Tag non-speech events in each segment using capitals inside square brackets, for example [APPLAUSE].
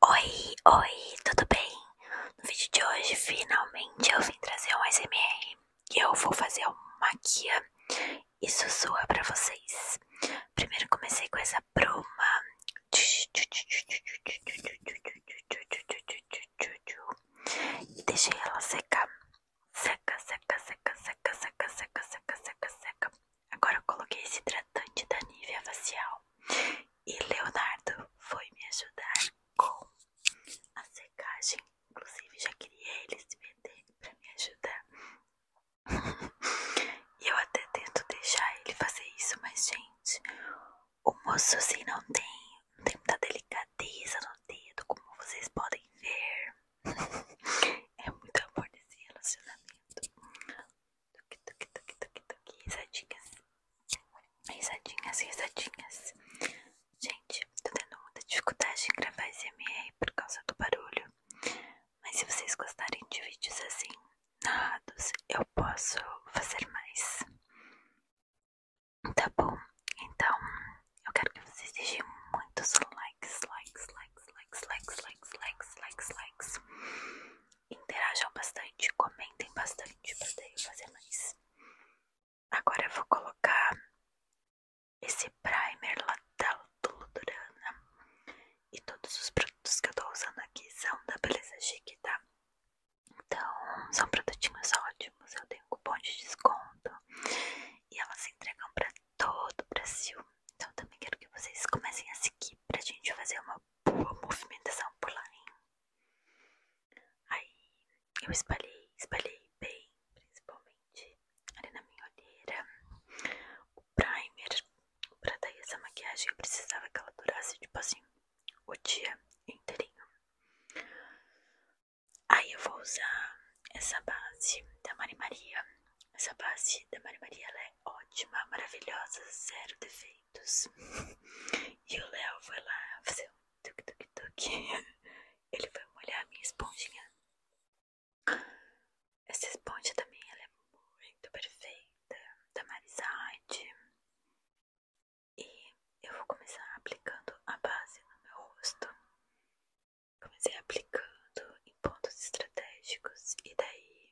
Oi, oi, tudo bem? No vídeo de hoje, finalmente eu vim trazer um SMR e eu vou fazer uma guia e sussurra pra vocês. Primeiro comecei com essa bruma. E deixei ela secar. Seca, seca, seca, seca, seca, seca, seca, seca, seca. Agora eu coloquei esse hidratante da Nivea facial. E Leonardo foi me ajudar com a secagem. Inclusive, já queria ele se meter pra me ajudar. [LAUGHS] E eu até tento deixar ele fazer isso, mas, gente, o moço assim não tem, não tem muita delicadeza no dedo, como vocês podem ver. [LAUGHS] É muito amor nesse relacionamento. Tuque, tuque, tuque, tuque, tuque. Risadinhas. Risadinhas, risadinhas. Gente, tô tendo muita dificuldade em gravar esse MR por causa do barulho. Mas se vocês gostarem de vídeos assim, narrados, eu posso fazer mais. Tá bom? Então, eu quero que vocês digam muitos likes, likes, likes, likes, likes, likes, likes, likes interajam bastante, comentem bastante para daí eu fazer mais. Agora eu vou colocar esse primer lá da Ludurana. E todos os produtos que eu tô usando aqui são da Beleza Chique, tá? Então, são produtinhos ótimos, eu tenho cupom de desconto e elas entregam para todo o Brasil. Então, eu também quero que vocês comecem a seguir pra gente fazer uma boa movimentação por lá, hein? Aí eu espalhei, espalhei bem, principalmente ali na minha olheira, o primer, pra dar essa maquiagem eu precisava que ela durasse, tipo assim, o dia inteirinho. Aí eu vou usar essa base da Marie Maria, essa base da Maria Maria é ótima, maravilhosa, zero defeitos. [LAUGHS] E o Léo foi lá fazer um tuk-tuk-tuk. [LAUGHS] Ele foi molhar a minha esponjinha. Essa esponja também é muito perfeita, da Marisade. E eu vou começar aplicando a base no meu rosto. Comecei aplicando em pontos estratégicos e daí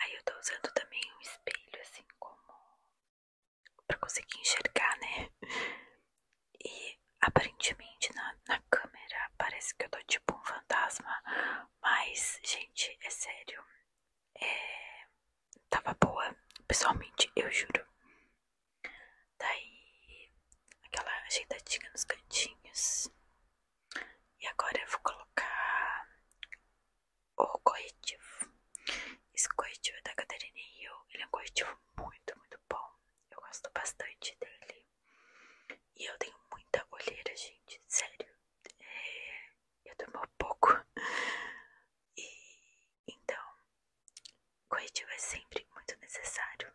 Aí eu tô usando também um espelho, assim, como pra conseguir enxergar, né? E aparentemente na, na câmera parece que eu tô tipo um fantasma, mas, gente, é sério, é, tava boa, pessoalmente, eu juro. Daí, aquela ajeitadinha nos cantinhos. E agora eu vou colocar o corretivo. Esse corretivo é da e eu Ele é um corretivo muito, muito bom. Eu gosto bastante dele. E eu tenho muita olheira, gente. Sério. É, eu durmo pouco. E então, corretivo é sempre muito necessário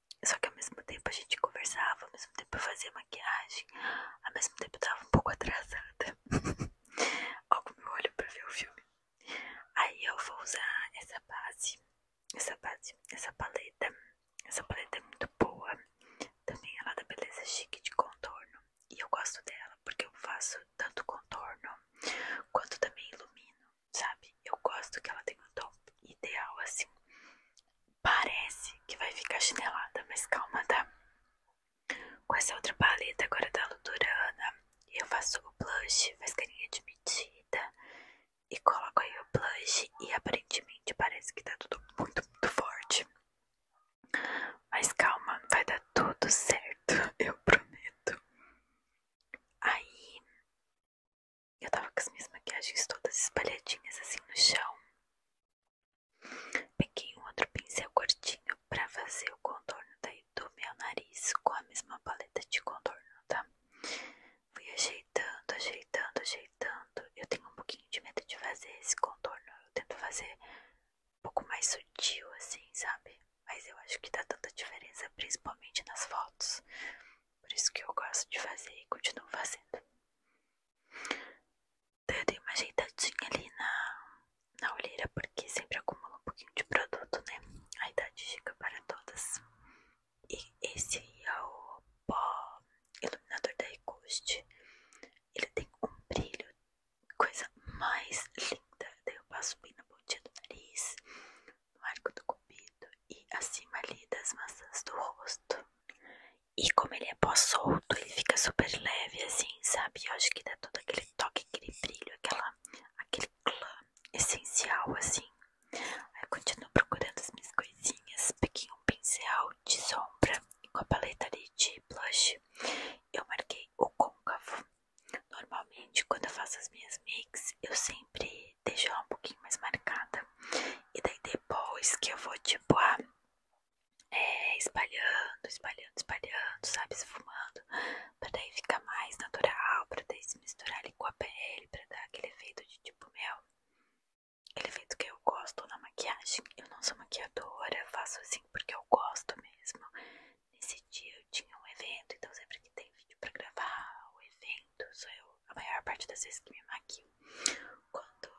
Só que ao mesmo tempo a gente conversava, ao mesmo tempo eu fazia maquiagem, ao mesmo tempo eu tava um pouco atrasada. algo [LAUGHS] o meu olho pra ver o filme. Aí eu vou usar essa base, essa base, essa paleta. Essa paleta é muito boa. Também ela é da Beleza Chique de contorno. E eu gosto dela porque eu faço tanto contorno quanto também ilumino sabe? Eu gosto que ela tenha um top ideal assim. Parece que vai ficar chinelada, mas calma, tá? Com essa outra paleta agora da Luturana, eu faço o blush, faz carinha de medida e coloco aí o blush e aparentemente parece que tá tudo muito, muito forte. Mas calma, vai dar tudo certo, [LAUGHS] eu prometo. Aí eu tava com as minhas maquiagens todas espalhadinhas assim no chão. Peguei um outro pincel curtinho pra fazer o contorno daí do meu nariz com a mesma paleta de contorno, tá? Fui ajeitando, ajeitando, ajeitando. Eu tenho um pouquinho de medo de fazer esse contorno. Eu tento fazer um pouco mais sutil, assim, sabe? Mas eu acho que dá tanta diferença, principalmente nas fotos. Por isso que eu gosto de fazer e continuo fazendo. Então, eu dei uma ajeitadinha ali na, na olheira, porque sempre acumula um pouquinho de produto, né? A idade chega para todas. E esse é o pó iluminador da Ecost. Ele tem um brilho, coisa mais linda. Daí eu passo bem na pontinha do nariz, no arco do cupido e acima ali das maçãs do rosto. E como ele é pó solto, ele fica super leve, assim, sabe? Eu acho que dá todo aquele toque, aquele brilho, aquela, aquele clã essencial, assim. Aí eu continuo procurando as minhas coisinhas, peguei um pincel de sombra e com a paleta ali de blush eu marquei o côncavo. Normalmente, quando eu faço as minhas mix, eu sempre deixa ela um pouquinho mais marcada. E daí depois que eu vou, tipo, ah, é, espalhando, espalhando, espalhando, sabe? Esfumando, pra daí ficar mais natural, pra daí se misturar ali com a pele, pra dar aquele efeito de tipo, mel, aquele efeito que eu gosto na maquiagem. Eu não sou maquiadora, faço assim porque eu gosto mesmo dia eu tinha um evento, então sempre que tem vídeo pra gravar o evento, sou eu a maior parte das vezes que me maquio. Quando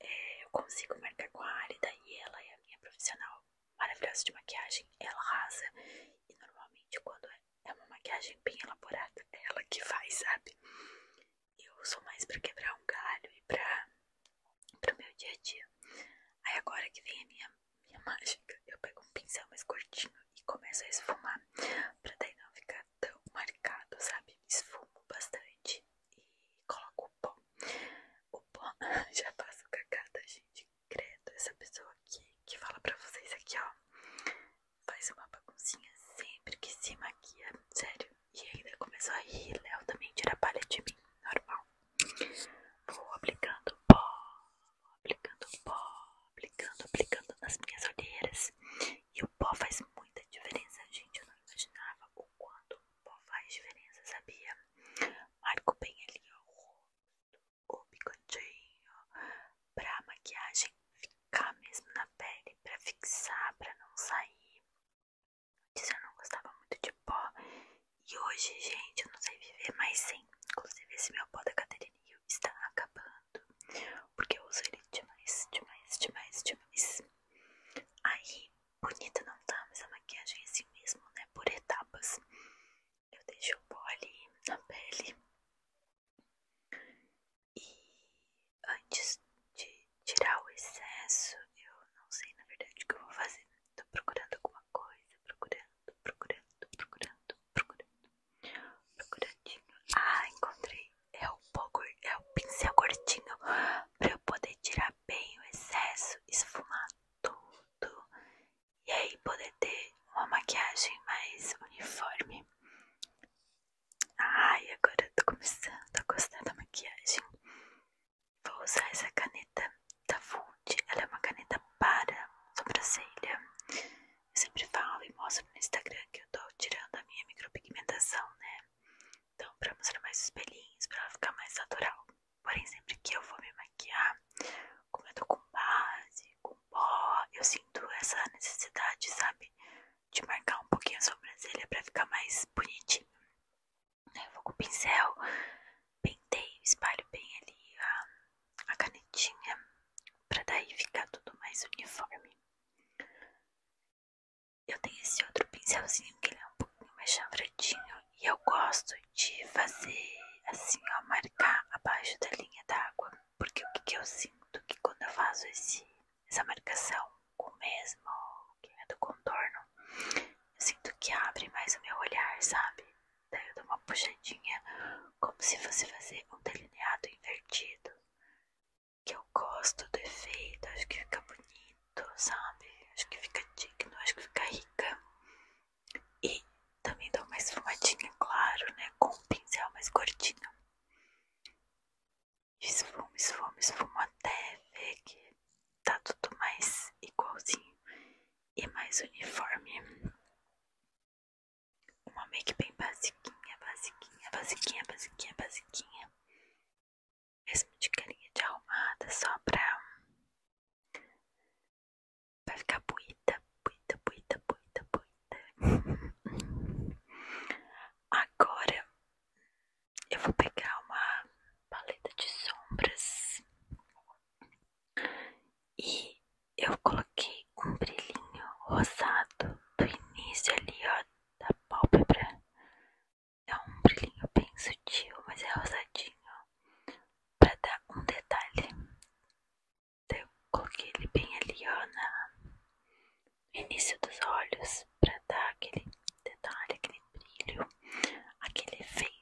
é, eu consigo marcar com a Alida e ela é a minha profissional maravilhosa de maquiagem, ela rasa E normalmente quando é, é uma maquiagem bem elaborada, é ela que faz, sabe? Eu sou mais pra quebrar um galho e pra, pro meu dia a dia. Aí agora que vem a minha minha mágica, eu pego um pincel mais curtinho e começo a esfumar, pra daí não ficar tão marcado, sabe? Esfumo bastante e coloco o pó. O pó [LAUGHS] já passa o cacada, gente. Credo, essa pessoa aqui que fala pra vocês aqui, ó. Faz uma baguncinha sempre que se maquia, sério. E ainda começou a rir, Léo também tira a palha de mim, normal. Vou aplicando pó aplicando pó, aplicando, aplicando nas minhas olheiras. E o pó faz muita diferença, gente. Eu não imaginava o quanto o pó faz diferença, sabia? Marco bem ali ó, o rosto, o bigodinho, pra maquiagem ficar mesmo na pele, pra fixar, pra não sair. Antes eu não gostava muito de pó. E hoje, gente, eu não sei viver mais sem. Inclusive, esse meu pó da Caterina está acabando, porque eu uso ele demais, demais, demais, demais. Aí, bonita não tá, mas a maquiagem é assim mesmo, né? Por etapas. Eu deixo o pó ali na pele. E antes de tirar o excesso, eu não sei na verdade o que eu vou fazer. estou procurando alguma coisa, procurando procurando, procurando, procurando, procurandinho. Ah, encontrei. É o, pó, é o pincel curtinho para eu poder tirar bem o excesso, esfumar tudo e aí poder ter uma maquiagem mais uniforme. Ai, agora eu tô começando a gostar da maquiagem. Vou usar essa caneta da tá Fult, ela é uma caneta para sobrancelha. Eu sempre falo e mostro no Instagram que eu tô tirando a minha micropigmentação, né? Então, pra mostrar mais os pelinhos, pra ela ficar mais natural. Porém, sempre que eu vou me maquiar, como eu tô com base, com pó, eu sinto essa necessidade, sabe? De marcar um pouquinho a sobrancelha pra ficar mais bonitinho. Eu vou com o pincel, penteio, espalho bem ali a, canetinha para daí ficar tudo mais uniforme. Eu tenho esse outro pincelzinho que ele é um pouquinho mais chanfradinho e eu gosto de fazer assim, ó, marcar abaixo da linha d'água, porque o que, que eu sinto que quando eu faço esse, essa marcação com o mesmo que é do contorno, eu sinto que abre mais o meu olhar, sabe? Daí eu dou uma puxadinha, como se fosse fazer um delineado invertido. Que eu gosto do efeito, acho que fica bonito, sabe? Acho que fica digno, acho que fica rica. E também dou uma esfumadinha, claro, né? Com um pincel mais gordinho. Esfumo, esfumo, esfumo até ver que tá tudo mais igualzinho e mais uniforme. Uma make bem basiquinha, basiquinha, basiquinha, basiquinha, basiquinha. Mesmo de carinha de arrumada, só pra, pra ficar bonita, bonita, bonita, bonita, bonita. [LAUGHS] Agora eu vou pegar uma paleta de sombras e eu coloquei um brilhinho rosado do início ali, ó, da pálpebra. É um brilhinho bem sutil, mas é rosadinho, pra dar um detalhe. Então, eu coloquei ele bem ali, ó, no início dos olhos, pra dar aquele detalhe, aquele brilho, aquele efeito.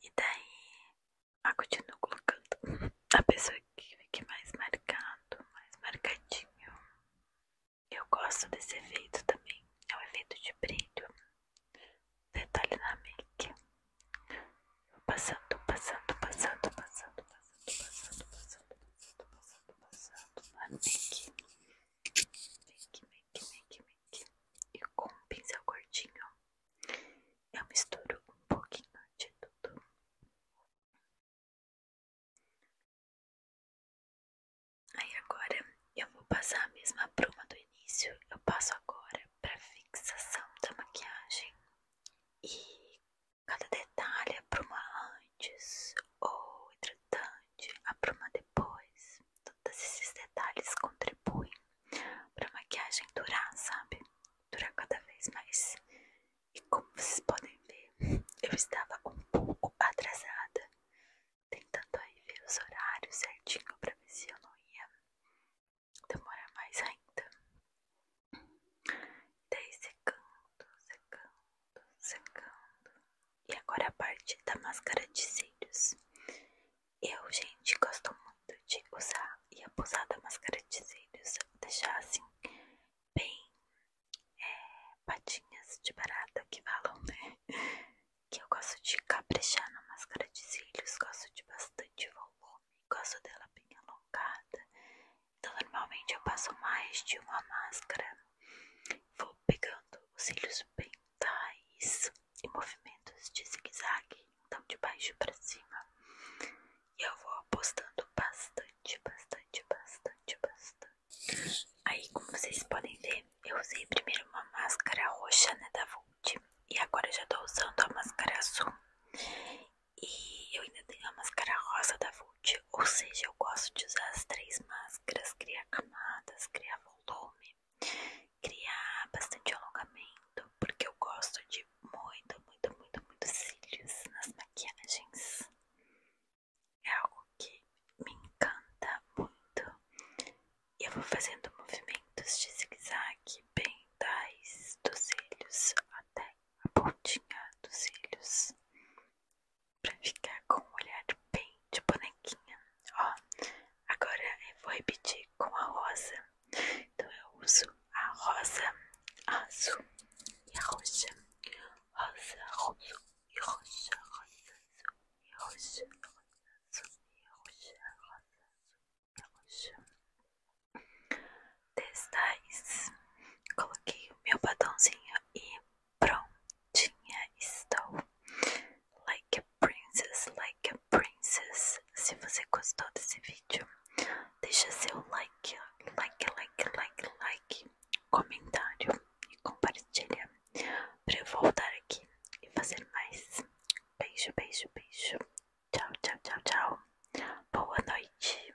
E daí, ah, continuo colocando a pessoa que fica mais marcado, mais marcadinho. Eu gosto desse efeito também, é o efeito de brilho. Detalhe na make. Vou passando, passando, passando, passando, passando, passando, passando, passando, passando, passando na make. E com um pincel curtinho eu misturo um pouquinho de tudo. Aí agora eu vou passar a mesma bruma do início, eu passo agora para fixação da maquiagem e cada detalhe a é bruma antes ou entre importante, apruma depois. Todos esses detalhes contribuem para a maquiagem durar, sabe? Durar cada vez mais. E como vocês podem ver, eu estava um pouco atrasada, tentando aí ver os horários certinho para ver se eu não ia demorar mais ainda. Daí secando, secando. E agora a parte da máscara de cílios. Eu, gente, gosto muito de usar e abusar da máscara de cílios. Deixar assim, bem é, patinhas de barata que falam, né? [LAUGHS] Que eu gosto de caprichar na máscara de cílios. Gosto de bastante volume. Gosto dela bem alongada. Então, normalmente eu passo mais de uma máscara. Vou pegando os cílios pentais e movimentos de zigue-zague, então de baixo para cima. E eu vou apostando bastante, bastante, bastante, bastante. Aí, como vocês podem ver, eu usei primeiro uma máscara roxa, né, da Vult. E agora já tô usando a máscara azul. E eu ainda tenho a máscara rosa da Vult ou seja, eu gosto de usar as três máscaras, criar camadas, criar volume, criar bastante alongamento, porque eu gosto de muito, muito, muito, muito cílios nas maquiagens. É algo que me encanta muito. E eu vou fazendo movimentos de zigue-zague bem tais dos cílios até a pontinha dos cílios pra ficar com um olhar bem de bonequinha. Ó, agora eu vou repetir com a rosa. Então eu uso a rosa azul e a roxa. Rosa, rosa e roxa, rosa azul e roxa, rosa azul e roxa, rosa azul e roxa. Destais, coloquei o meu batonzinho e Prontinha estou. Like a princess, like a princess. Se você gostou desse vídeo, deixa seu like, like, like, like, like, comentário e compartilha para eu voltar aqui e fazer mais. Beijo, beijo, beijo. Tchau, tchau, tchau, tchau. Boa noite.